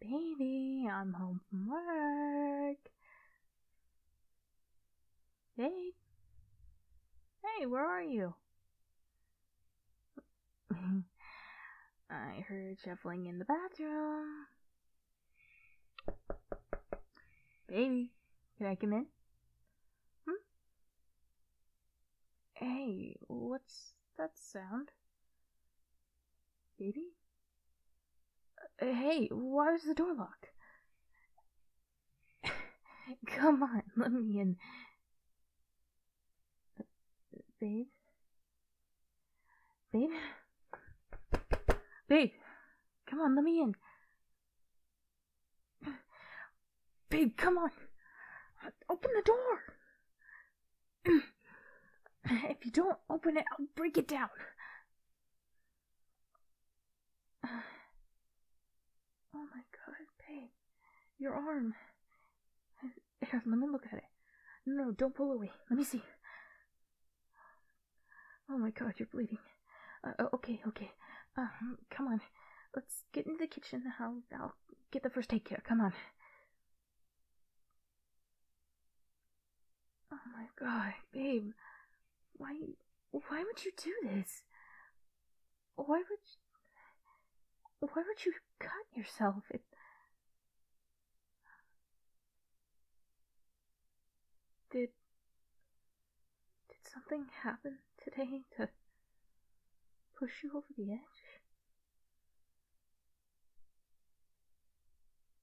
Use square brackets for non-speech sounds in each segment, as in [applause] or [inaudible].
Baby, I'm home from work. Hey. Hey, where are you? [laughs] I heard shuffling in the bathroom. Baby, can I come in? Hmm? Hey, what's that sound? Baby? Uh, hey, why is the door locked? [laughs] Come on, let me in. babe? Babe? Babe! Come on, let me in. Babe, come on! Open the door! [clears throat] if you don't open it, I'll break it down. [sighs] Oh my god, babe. Your arm. let me look at it. No, don't pull away. Let me see. Oh my god, you're bleeding. Uh, oh, okay, okay. Uh, come on. Let's get into the kitchen. I'll, I'll get the first aid kit. Come on. Oh my god, babe. Why why would you do this? Why would you, why would you cut yourself? did did something happen today to push you over the edge?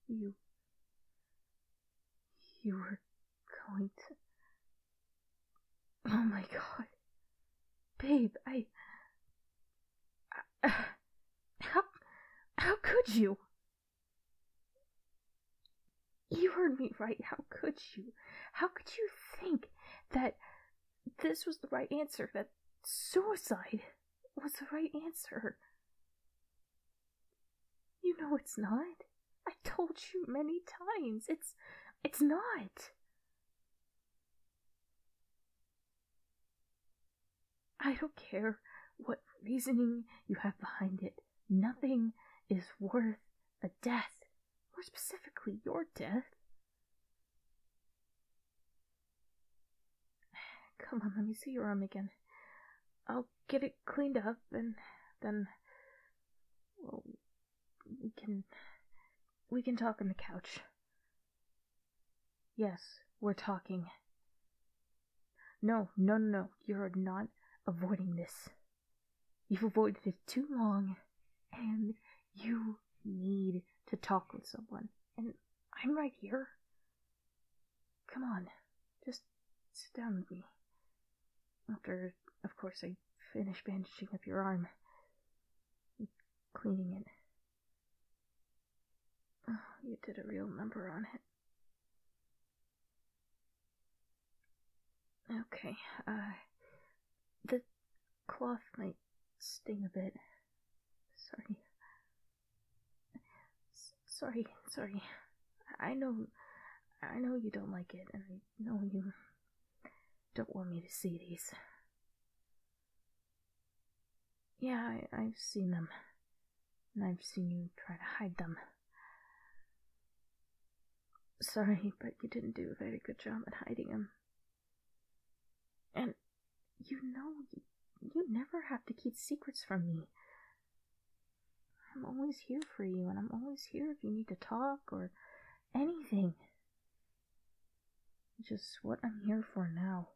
You. You were going to. Oh my god. Babe, I. Uh, how. How could you? You heard me right. How could you? How could you think that this was the right answer, that suicide was the right answer. You know it's not. I told you many times. It's it's not. I don't care what reasoning you have behind it. Nothing is worth a death, more specifically your death. [sighs] Come on, let me see your arm again. I'll get it cleaned up and then we can we can talk on the couch. Yes, we're talking. No, no, no, no. You're not avoiding this. You've avoided it too long, and you need to talk with someone. And I'm right here. Come on, just sit down with me. After, of course, I finish bandaging up your arm cleaning it. Oh, you did a real number on it. Okay, uh, the cloth might sting a bit. Sorry. sorry, sorry. I know, I know you don't like it, and I know you don't want me to see these. Yeah, I, I've seen them, and I've seen you try to hide them. Sorry, but you didn't do a very good job at hiding him. And you know, you, never have to keep secrets from me. I'm always here for you, and I'm always here if you need to talk or anything. Just what I'm here for now.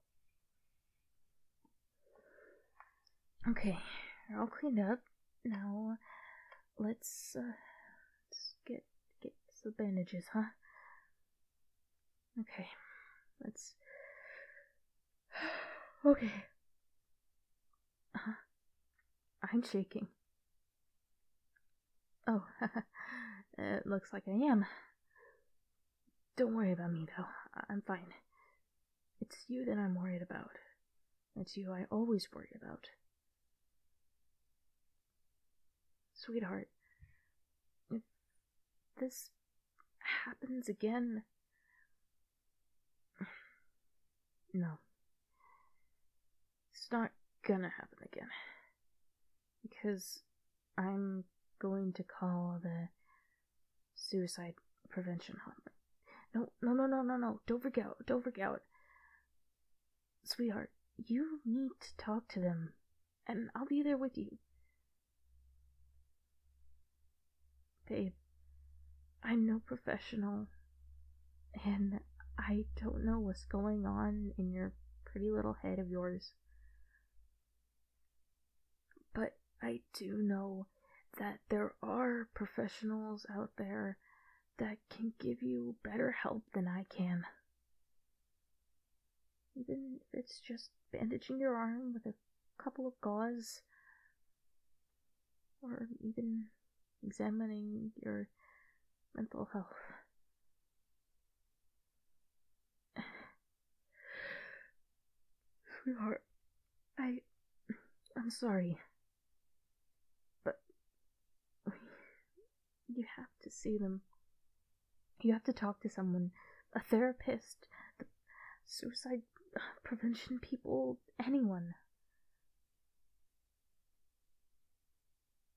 Okay, I'll clean up. Now, let's, uh, get get some bandages, huh? Okay, let's. [sighs] okay. Uh-huh. I'm shaking. Oh, [laughs] it looks like I am. Don't worry about me, though. I'm fine. It's you that I'm worried about. It's you I always worry about. Sweetheart, if this happens again. [sighs] No. It's not gonna happen again. Because I'm going to call the suicide prevention hotline. No, no, no, no, no, no. Don't forget! Don't forget, Sweetheart, you need to talk to them, and I'll be there with you. Babe, I'm no professional, and I don't know what's going on in your pretty little head of yours. But I do know that there are professionals out there that can give you better help than I can. Even if it's just bandaging your arm with a couple of gauze, or even examining your mental health. [sighs] [sighs] Sweetheart, I. I'm sorry. But. You have to see them. You have to talk to someone a therapist, the suicide prevention people, anyone.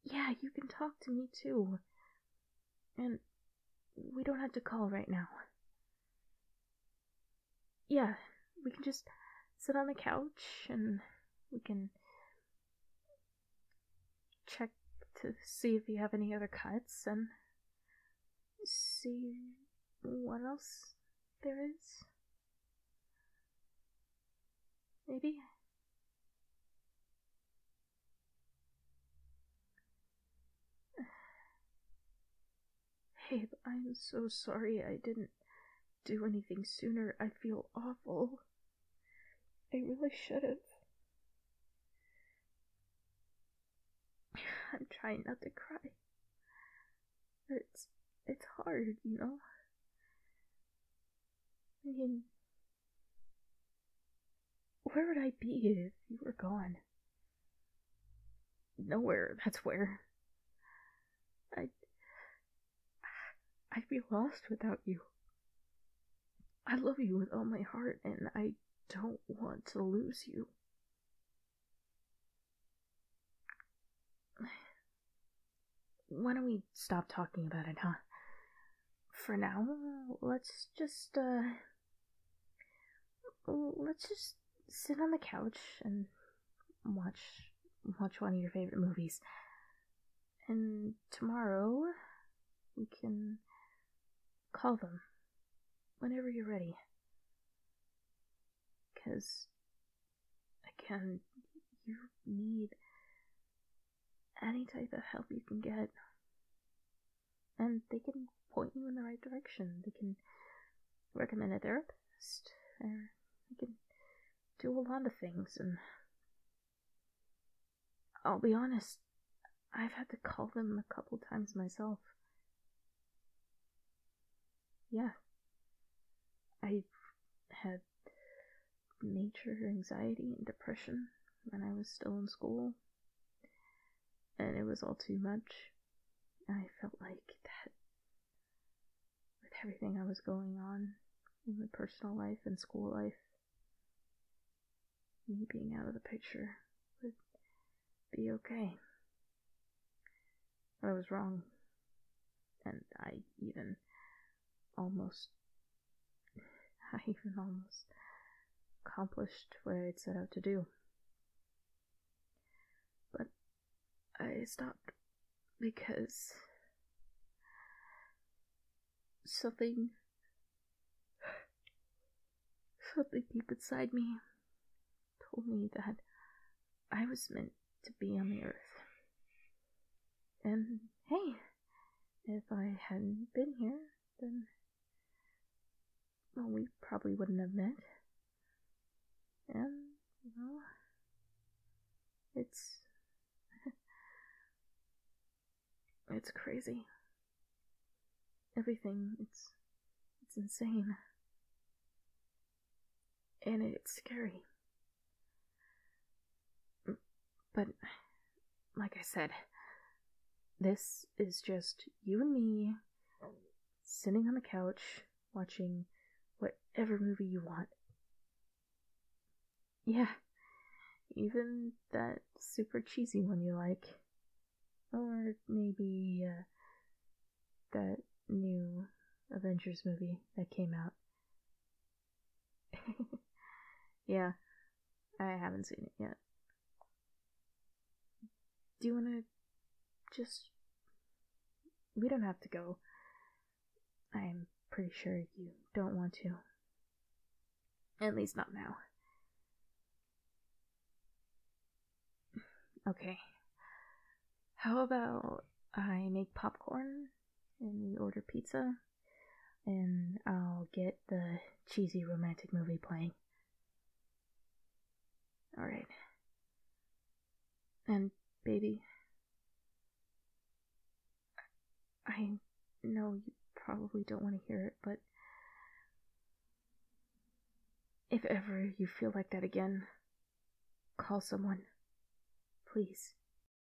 Yeah, you can talk to me too. And we don't have to call right now yeah, we can just sit on the couch and we can check to see if you have any other cuts and see what else there is. Maybe. Abe, I'm so sorry I didn't do anything sooner. I feel awful. I really should have. I'm trying not to cry. it's it's hard, you know. I mean, where would I be if you were gone? Nowhere, that's where. I'd, I'd be lost without you. I love you with all my heart, and I don't want to lose you. Why don't we stop talking about it, huh? For now, let's just, uh, Mm, let's just sit on the couch and watch watch one of your favorite movies. And tomorrow we can call them whenever you're ready. Cuz again, you need any type of help you can get and they can point you in the right direction. They can recommend a therapist, they can do a lot of things. And I'll be honest, I've had to call them a couple times myself. Yeah, i had major anxiety and depression when I was still in school. And it was all too much. I felt like that with everything I was going on in my personal life and school life, me being out of the picture would be okay. But I was wrong. And I even almost I [laughs] even almost accomplished what I would set out to do. But I stopped because something something deep inside me told me that I was meant to be on the earth. And hey, if I hadn't been here, then well, we probably wouldn't have met. And, well, it's. [laughs] it's crazy. Everything, it's. it's insane. And it's scary. But, like I said, this is just you and me sitting on the couch watching whatever movie you want. Yeah, even that super cheesy one you like. Or maybe uh, that new Avengers movie that came out. [laughs] yeah, I haven't seen it yet. Do you want to just. We don't have to go. I'm pretty sure you don't want to. At least not now. Okay. How about I make popcorn and we order pizza? and I'll get the cheesy romantic movie playing. Alright. And, baby, I know you probably don't want to hear it, but if ever you feel like that again, call someone. Please.